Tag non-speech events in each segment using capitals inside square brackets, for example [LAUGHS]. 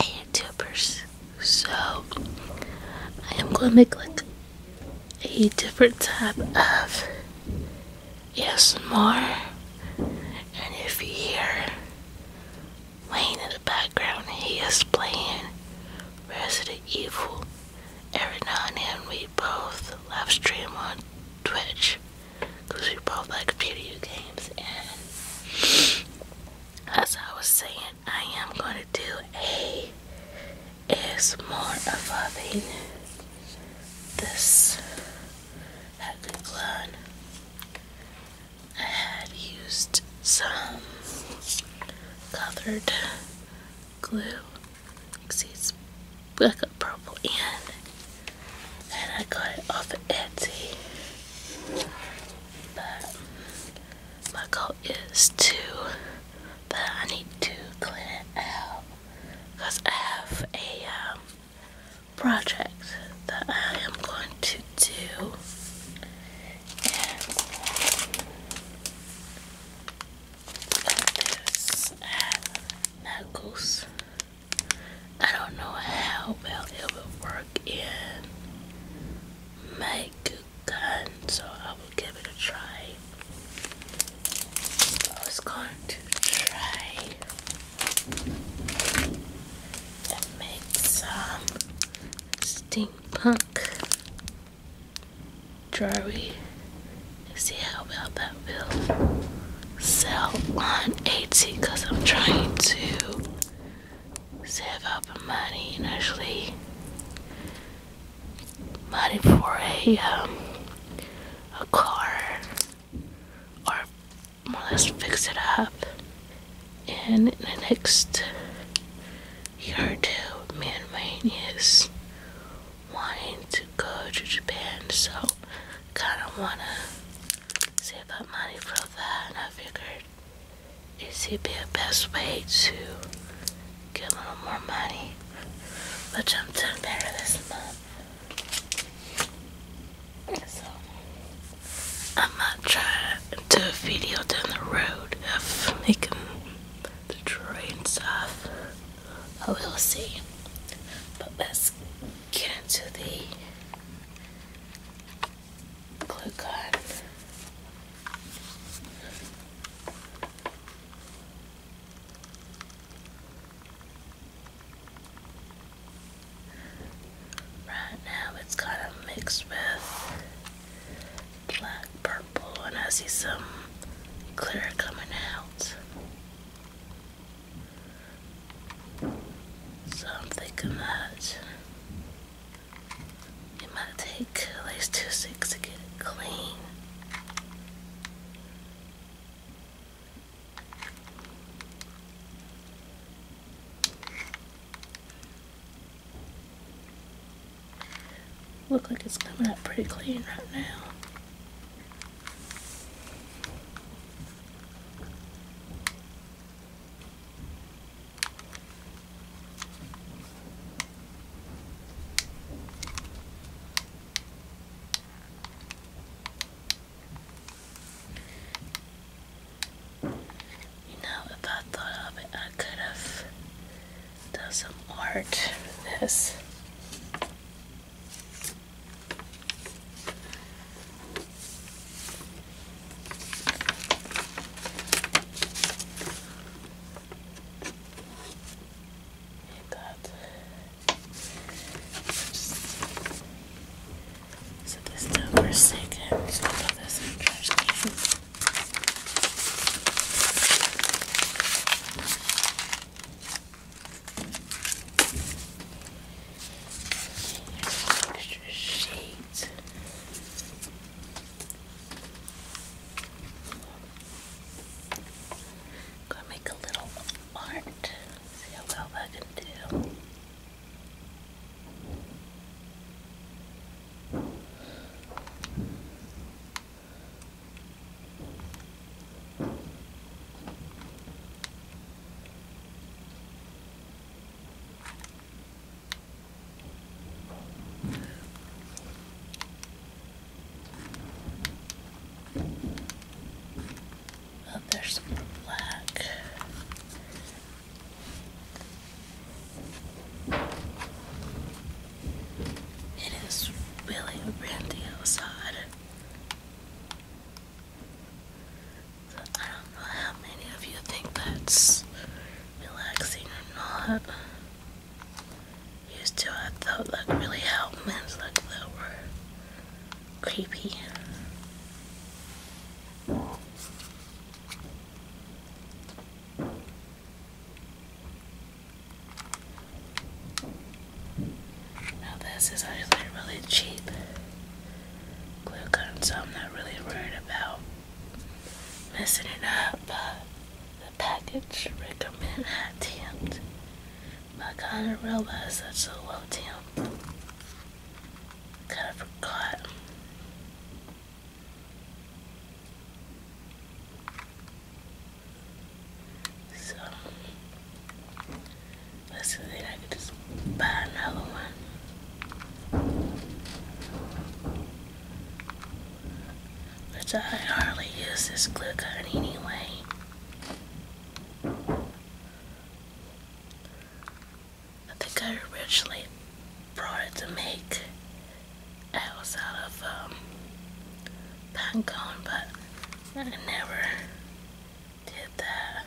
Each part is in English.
YouTubers, so I am gonna make like a different type of ASMR. And if you hear Wayne in the background, he is playing Resident Evil. Every now and then we both live stream on Twitch because we both like video games and as I was saying I am going to do a is more of having this had been blood. I had used some colored glue. see it's like a purple end. And I got it off of Etsy. But my goal is to but I need to clean it out because I have a um, project that I am going to do. And this at Knuckles. I don't know how well it will work in Make gun, so I will give it a try. I was going to try and make some steampunk jewelry. See how well that will sell on Etsy because I'm trying to save up money initially money for a um, a car or more or less fix it up and the next year or man, me is wanting to go to Japan so kinda wanna save up money for that and I figured is it the best way to get a little more money, which I'm doing better this month. So, I might try to do a video down the road of making the jewelry and stuff. I will see. But let's get into the glue gun. Right now it's kind of mixed with black purple and I see some clear coming out. So I'm thinking that it might take at least two sticks to get it clean. Look like it's coming up pretty clean right now. You know, if I thought of it, I could have done some art for this. Like that. Just set this down for a second. Just this in the trash can. extra sheet. Gonna make a little art. See how well I can do. Oh, there's some black. It is really windy outside. I don't know how many of you think that's relaxing or not used to I thought like really help Men's like that were creepy. Now this is actually really cheap glue gun, so I'm not really worried about messing it up. The package recommend high temp, but kind of realized that's a low temp. Kind of forgot. So let I could just buy another one. Which I hardly use this glue gun anyway. I think I originally brought it to make owls out of um, but I never did that.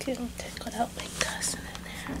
Getting tickled out by cussing in there.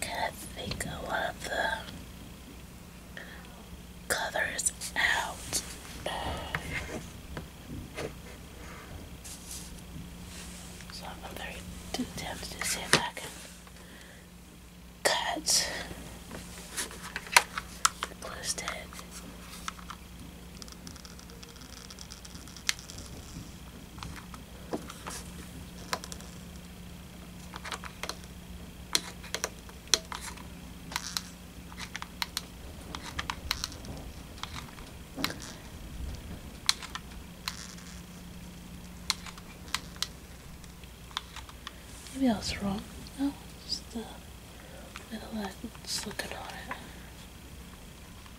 Can I think of the colors out? So I'm very tempted to see if I cut the glue Maybe I was wrong. No, just the little that's on it.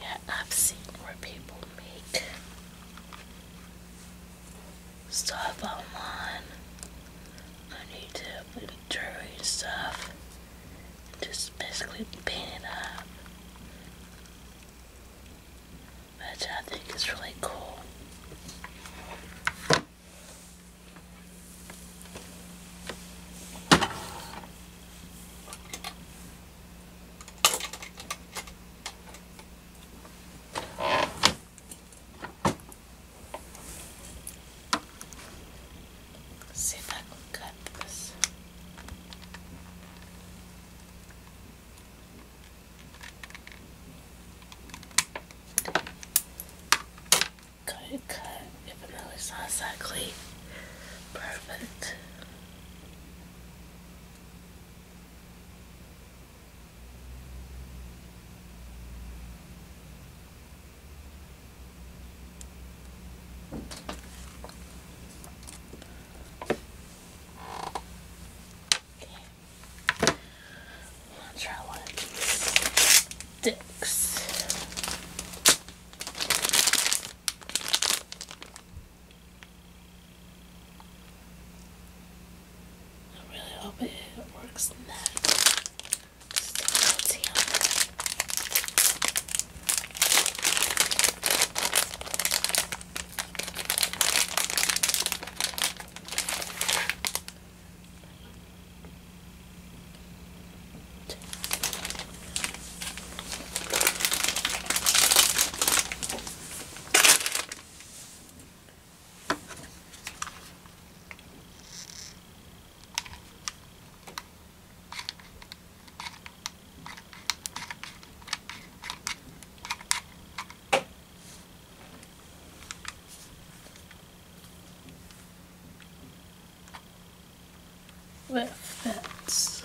Yeah, I've seen where people make stuff online. I need to drawing stuff. Just basically paint it up. Which I think is really cool. Let's see if I can cut this. Good cut, even though it's exactly perfect. Okay. Let's try one of these sticks. I really hope it works Next. that. I with fits.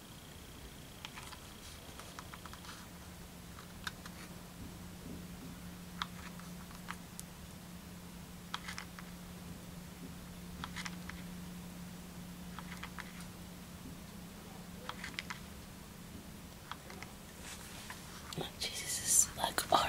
Oh, Jesus, like artwork.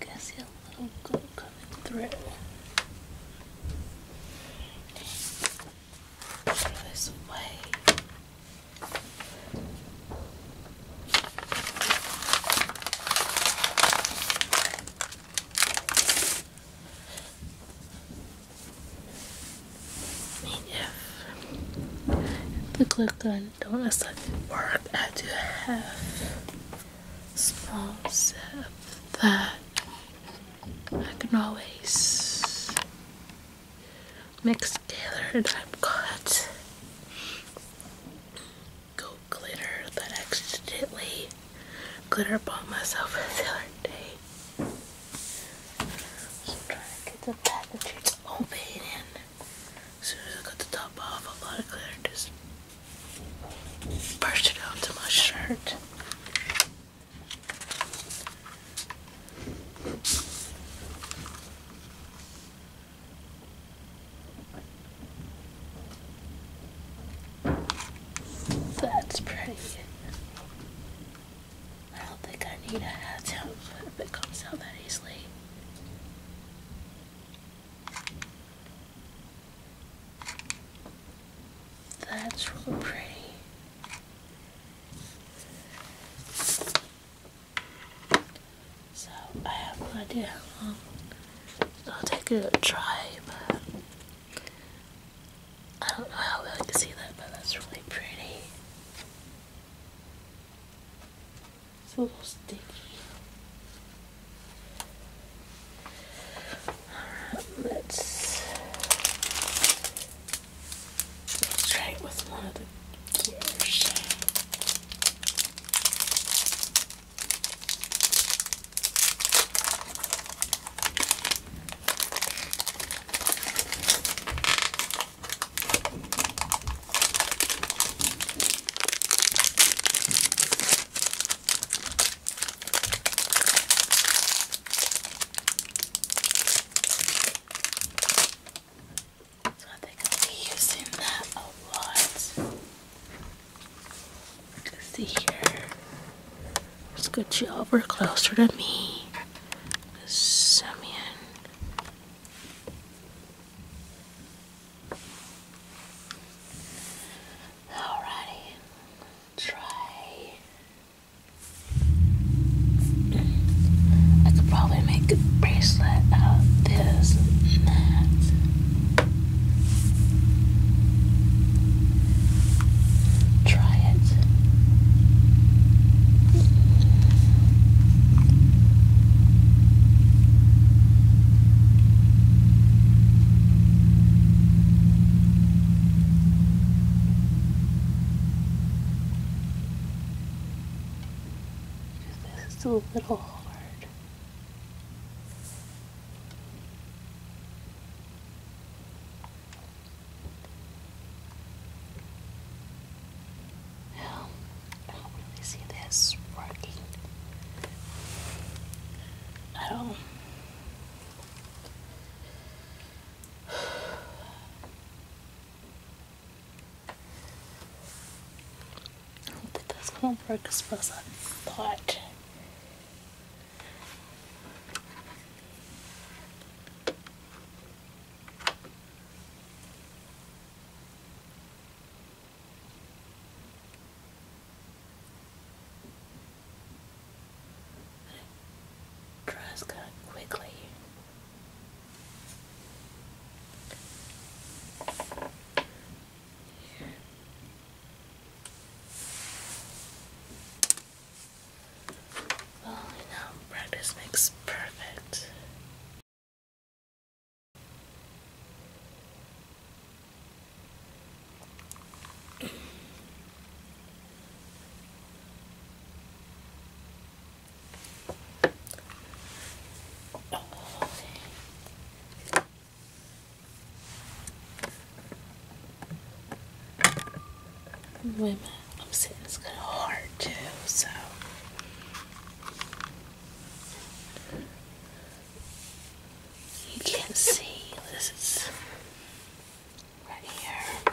I can see a little glow coming through. this away. if the glue gun don't work, I do have small step that I can always mix together and I've got gold glitter that accidentally glitter bombed myself [LAUGHS] the other day. So I'm trying to get the packaging open and as soon as I got the top off a lot of glitter just Brush it out to my shirt. That's pretty. I don't think I need a hat to if it comes out that easily. That's really pretty. So I have no idea I'll take a try, but I don't know how well I can see that, but that's really pretty. It's a little sticky. Alright, let's, try with one of the gears. So I think I'll be using that a lot. Let's see here. Let's get you over closer to me. Simeon. Alrighty, try. I could probably make a bracelet out of this and Try it. This is a little hard. Um, I don't really see this working at all. I don't think that's gonna work as well I thought. Dress quickly. Here. Well, you practice makes perfect. Women, I'm saying it's kind of hard too, so you can see this is right here.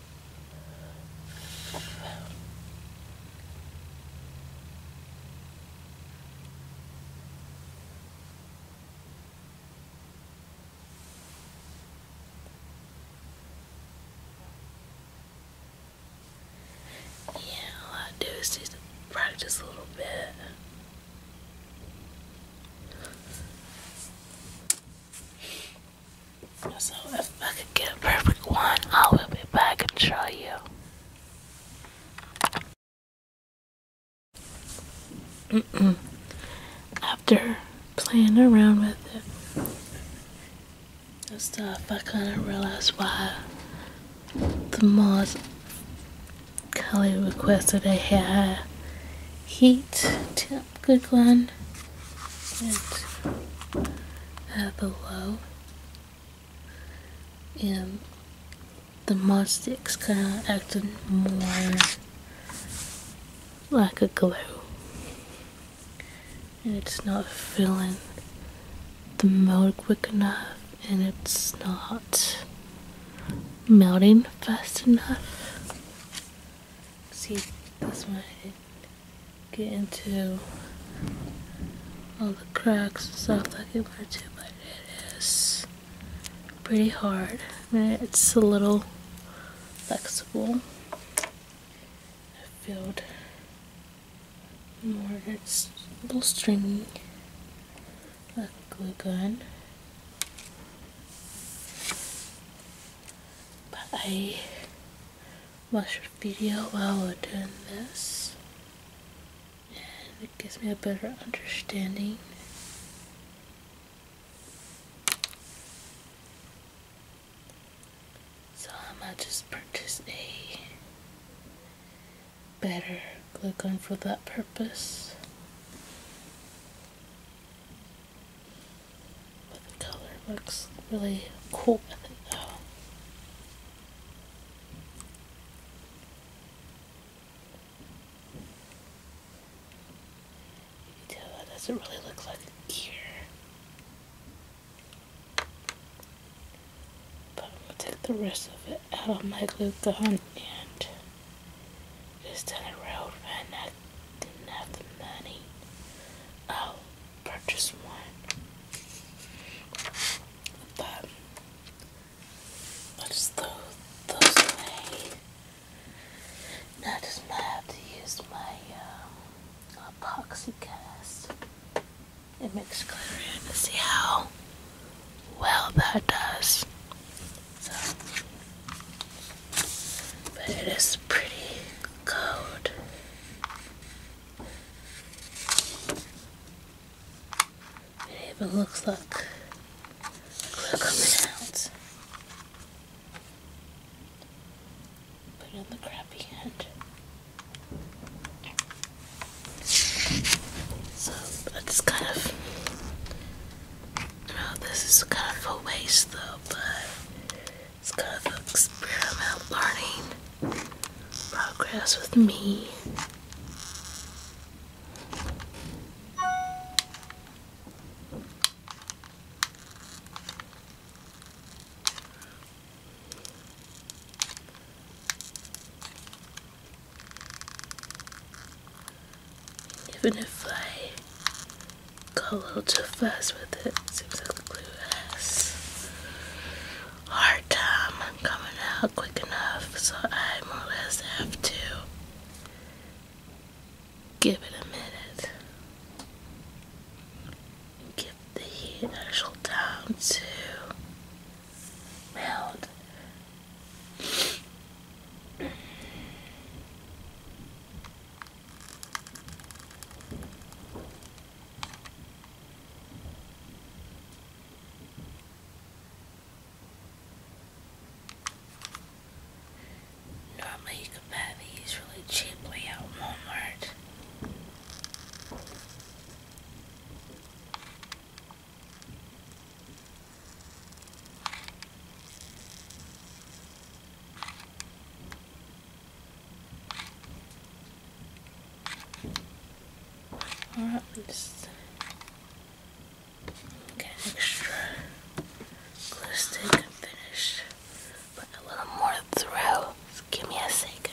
Yeah, all I do is just practice a little bit. So if I could get a perfect one, I will be back and show you. After playing around with it and stuff, I kind of realized why the most Kali requested a hair heat tip good one. It's uh, below. And the mod sticks kind of acted more like a glue. And it's not filling the mold quick enough. And it's not melting fast enough see this might get into all the cracks and stuff like it wanted to, but it is pretty hard. it's a little flexible. I more, it's a little stringy, like a glue gun but I watched a video while we're doing this and it gives me a better understanding so I might just purchase a better glue gun for that purpose but the color looks really cool I think though. that doesn't really look like an ear. But I'm going to take the rest of it out of my glue gun and just done a railroad when I didn't have the money? I'll oh, purchase one. But i just throw those away. Now I just have to use my um, epoxy cast and mix glitter to see how well that does. So, but it is pretty cold. It even looks like we coming out. Put on the crappy hand. So it's kind of well, this is kind of a waste though, but it's kind of an experiment learning progress with me. Even if I go a little too fast with it, seems like glue has a hard time coming out quick enough, so I more or less have to give it a minute. Give the heat actual time to melt. Normally you could buy these really cheaply at Walmart. Alright, let just get extra glue stick and finish. but a little more through. Just give me a second.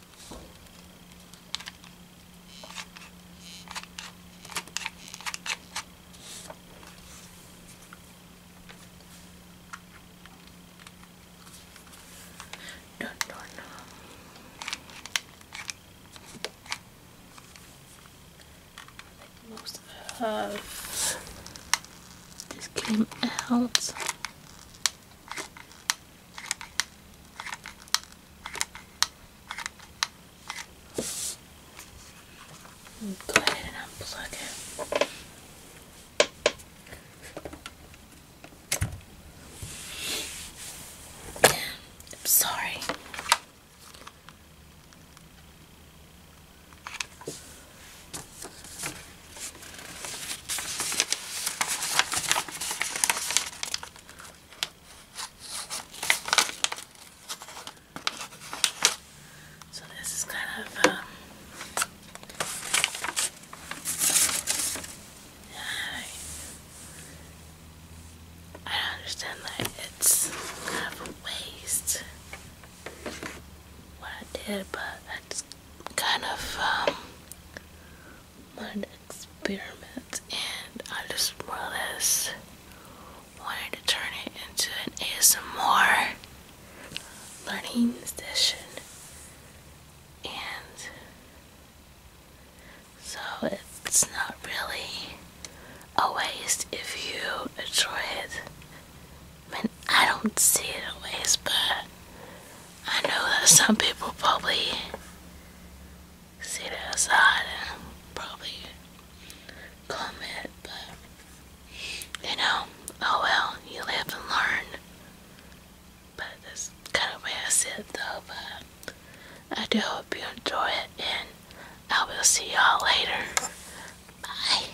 Dun, dun, dun. most of this came out. Go ahead and unplug it. I'm sorry. So this is kind of, um, I don't understand that it's kind of a waste what I did, but I just kind of, um, mud experiment, and I just more or less wanted to turn it into an ASMR learning session. And so it's not really a waste if you enjoy it. I mean, I don't see it as a waste, but I know that some people probably sit the outside and probably comment, but you know, oh well, you live and learn. But that's kind of where I sit though, but I do hope you enjoy it and I will see y'all later. Bye.